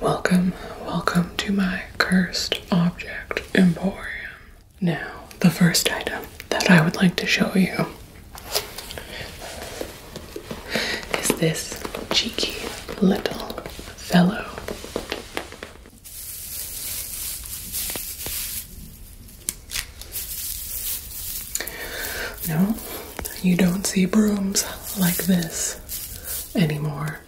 Welcome, welcome to my cursed object emporium. Now, the first item that I would like to show you is this cheeky little fellow. No, you don't see brooms like this anymore.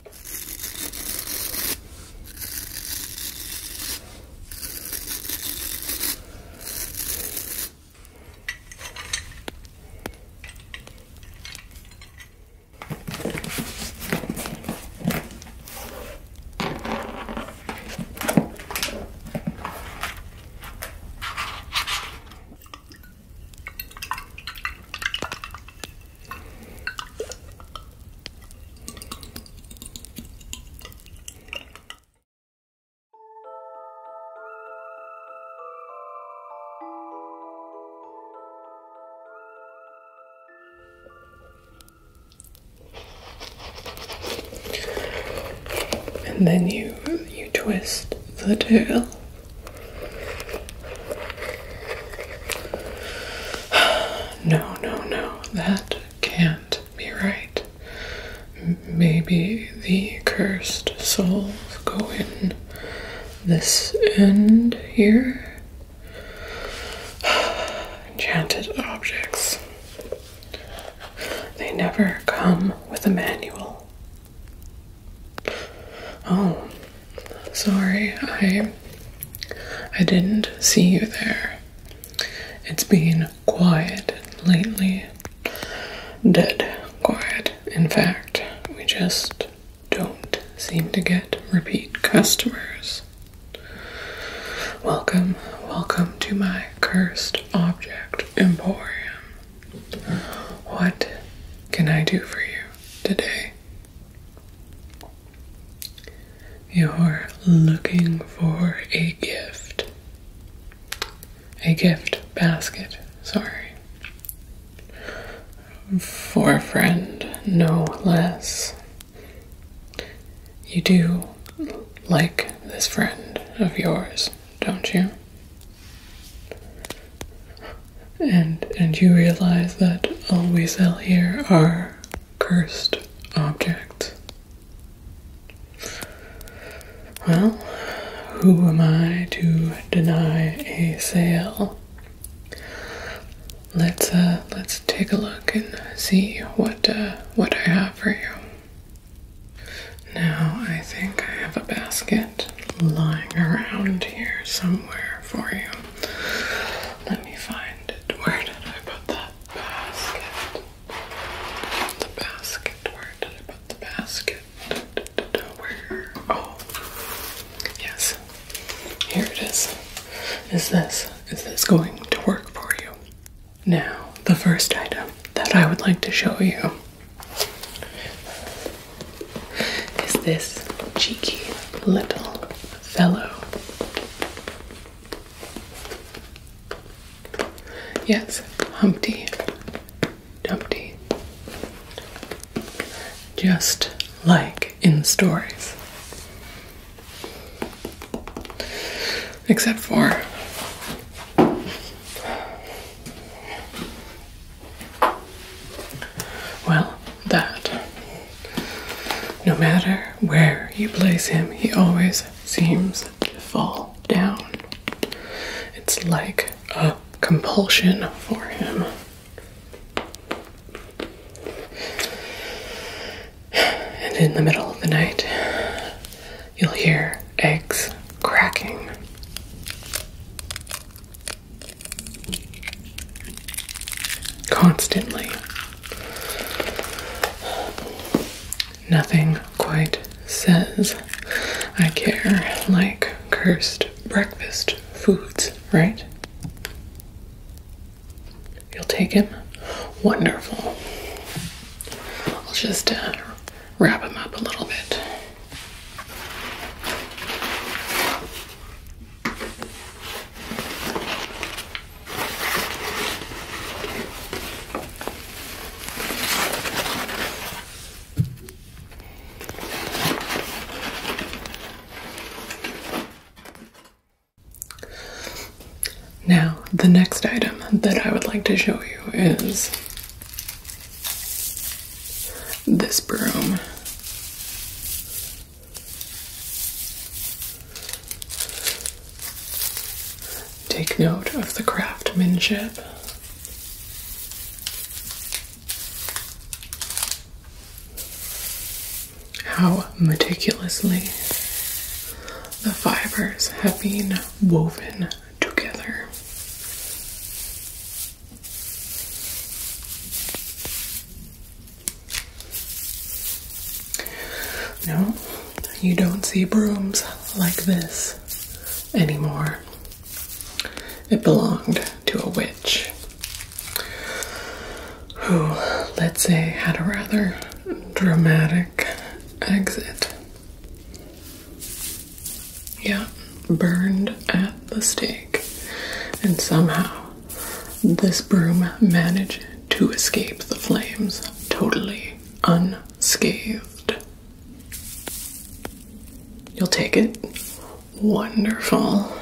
And then you you twist the tail no, no, no, that can't be right. Maybe the cursed souls go in this end here. Enchanted objects. They never come with a manual. Oh, sorry. I I didn't see you there. It's been quiet lately. Dead quiet. In fact, we just don't seem to get repeat customers. Welcome, welcome to my cursed object emporium. What can I do for you today? You're looking for a gift. A gift basket, sorry. For a friend, no less. You do like this friend of yours don't you? And and you realize that all we sell here are cursed objects. Well, who am I to deny a sale? Let's uh, let's take a look and see what uh, what I have for you. Now, I think I have a basket lying around here somewhere for you. Let me find it. Where did I put that basket? The basket. Where did I put the basket? Where? Oh, yes. Here it is. Is this? Is this going to work for you? Now, the first item that I would like to show you is this cheeky little fellow. Yes, Humpty Dumpty. Just like in stories. Except for well, that. No matter where you place him, he always seems to fall down. It's like a compulsion for him and in the middle of the night, you'll hear eggs cracking. Constantly. Nothing quite says I care like cursed breakfast foods, right? You'll take him? Wonderful. I'll just uh, wrap him up a little bit. Now, the next item that I would like to show you is this broom. Take note of the craftsmanship how meticulously the fibers have been woven together. No, you don't see brooms like this anymore. It belonged to a witch who, let's say, had a rather dramatic exit. Yeah, burned at the stake. And somehow, this broom managed to escape the flames totally unscathed. You'll take it? Wonderful.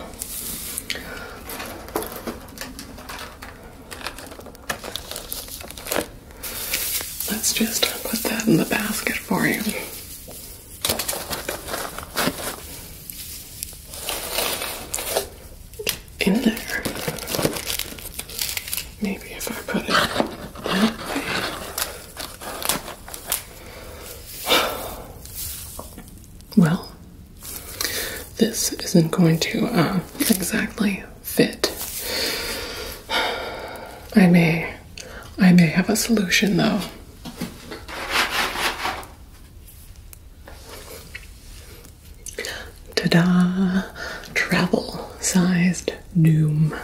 Let's just put that in the basket for you. In there. Maybe if I put it that way well, this isn't going to uh, exactly fit. I may, I may have a solution though. Ta-da! Travel-sized doom.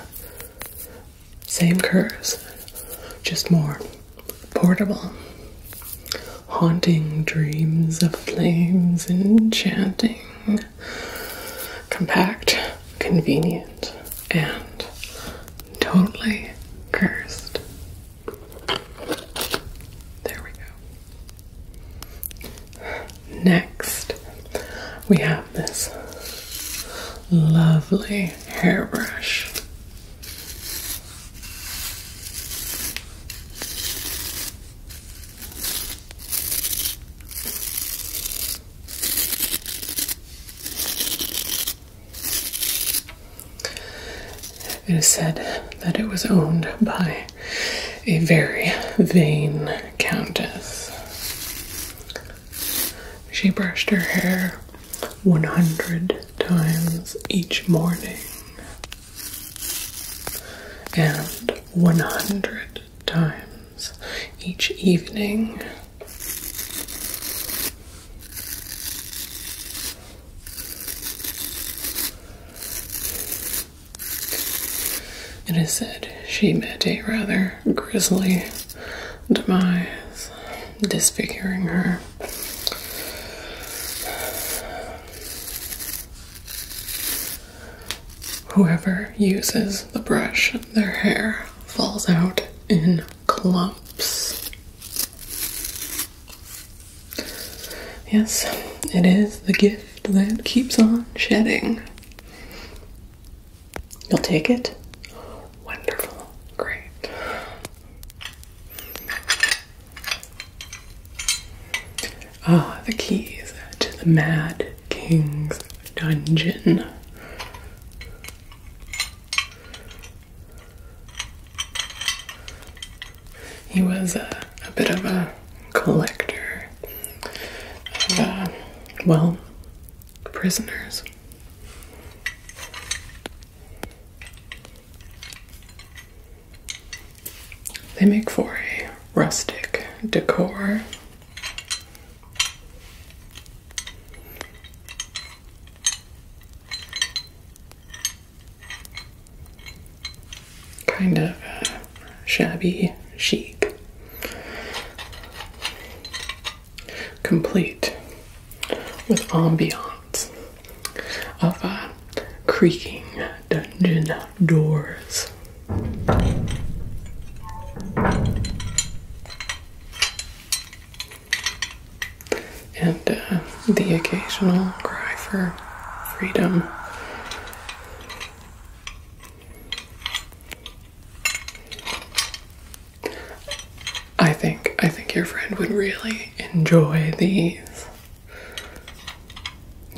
Same curves, just more portable. Haunting dreams of flames, enchanting, compact, convenient, and totally cursed. There we go. Next, we have this lovely hairbrush. It is said that it was owned by a very vain countess. She brushed her hair 100 times each morning and 100 times each evening. It is said she met a rather grisly demise, disfiguring her Whoever uses the brush, their hair falls out in clumps. Yes, it is the gift that keeps on shedding. You'll take it wonderful, great. Ah, the keys to the Mad King's dungeon. He was a, bit of a collector of, uh, well, prisoners. They make for a rustic decor. Kind of shabby chic complete with ambiance of uh, creaking dungeon doors. And uh, the occasional cry for freedom. I think I think your friend would really enjoy these.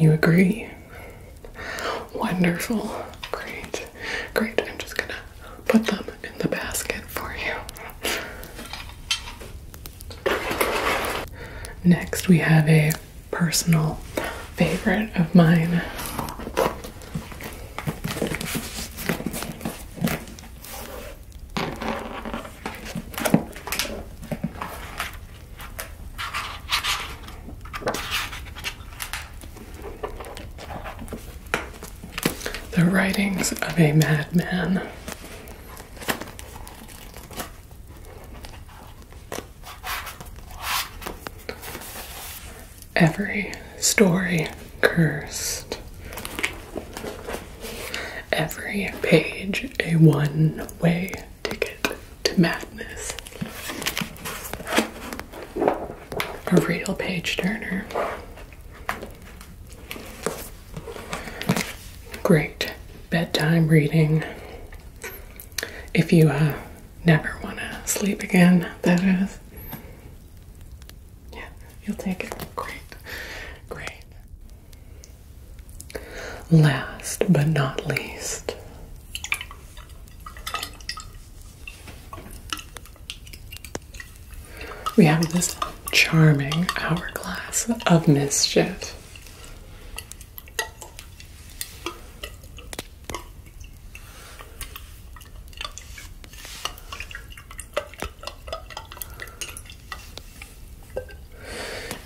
You agree? Wonderful. Great. Great. I'm just gonna put them in the basket for you. Next, we have a personal favorite of mine. The writings of a madman. Every story cursed. Every page a one way ticket to madness. A real page turner. Great bedtime reading. If you uh, never want to sleep again. That is. Yeah, you'll take it. Great. Great. Last but not least. We have this charming hourglass of mischief.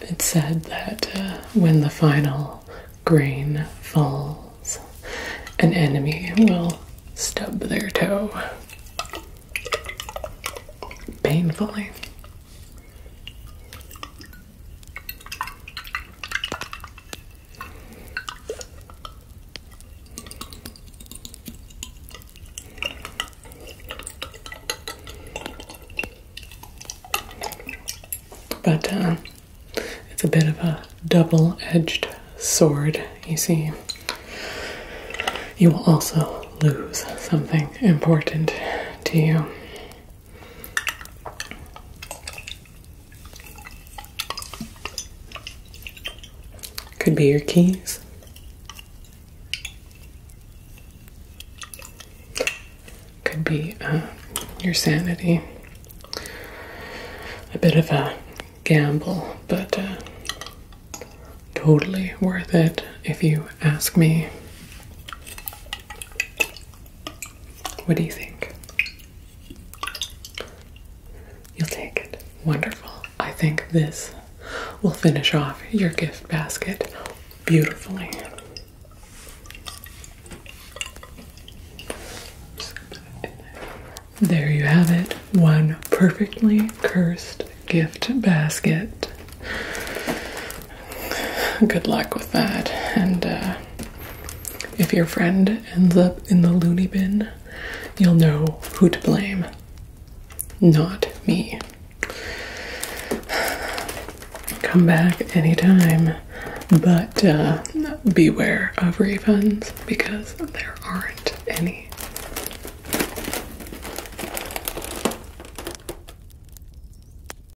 It said that uh, when the final grain falls, an enemy will stub their toe painfully. But uh, it's a bit of a double edged sword, you see. You will also lose something important to you. Could be your keys. Could be uh, your sanity. A bit of a gamble, but uh, totally worth it if you ask me. What do you think? You'll take it. Wonderful. I think this will finish off your gift basket beautifully. There you have it. One perfectly cursed gift basket good luck with that. And uh, if your friend ends up in the loony bin, you'll know who to blame. Not me. Come back anytime, but uh, beware of refunds because there aren't any.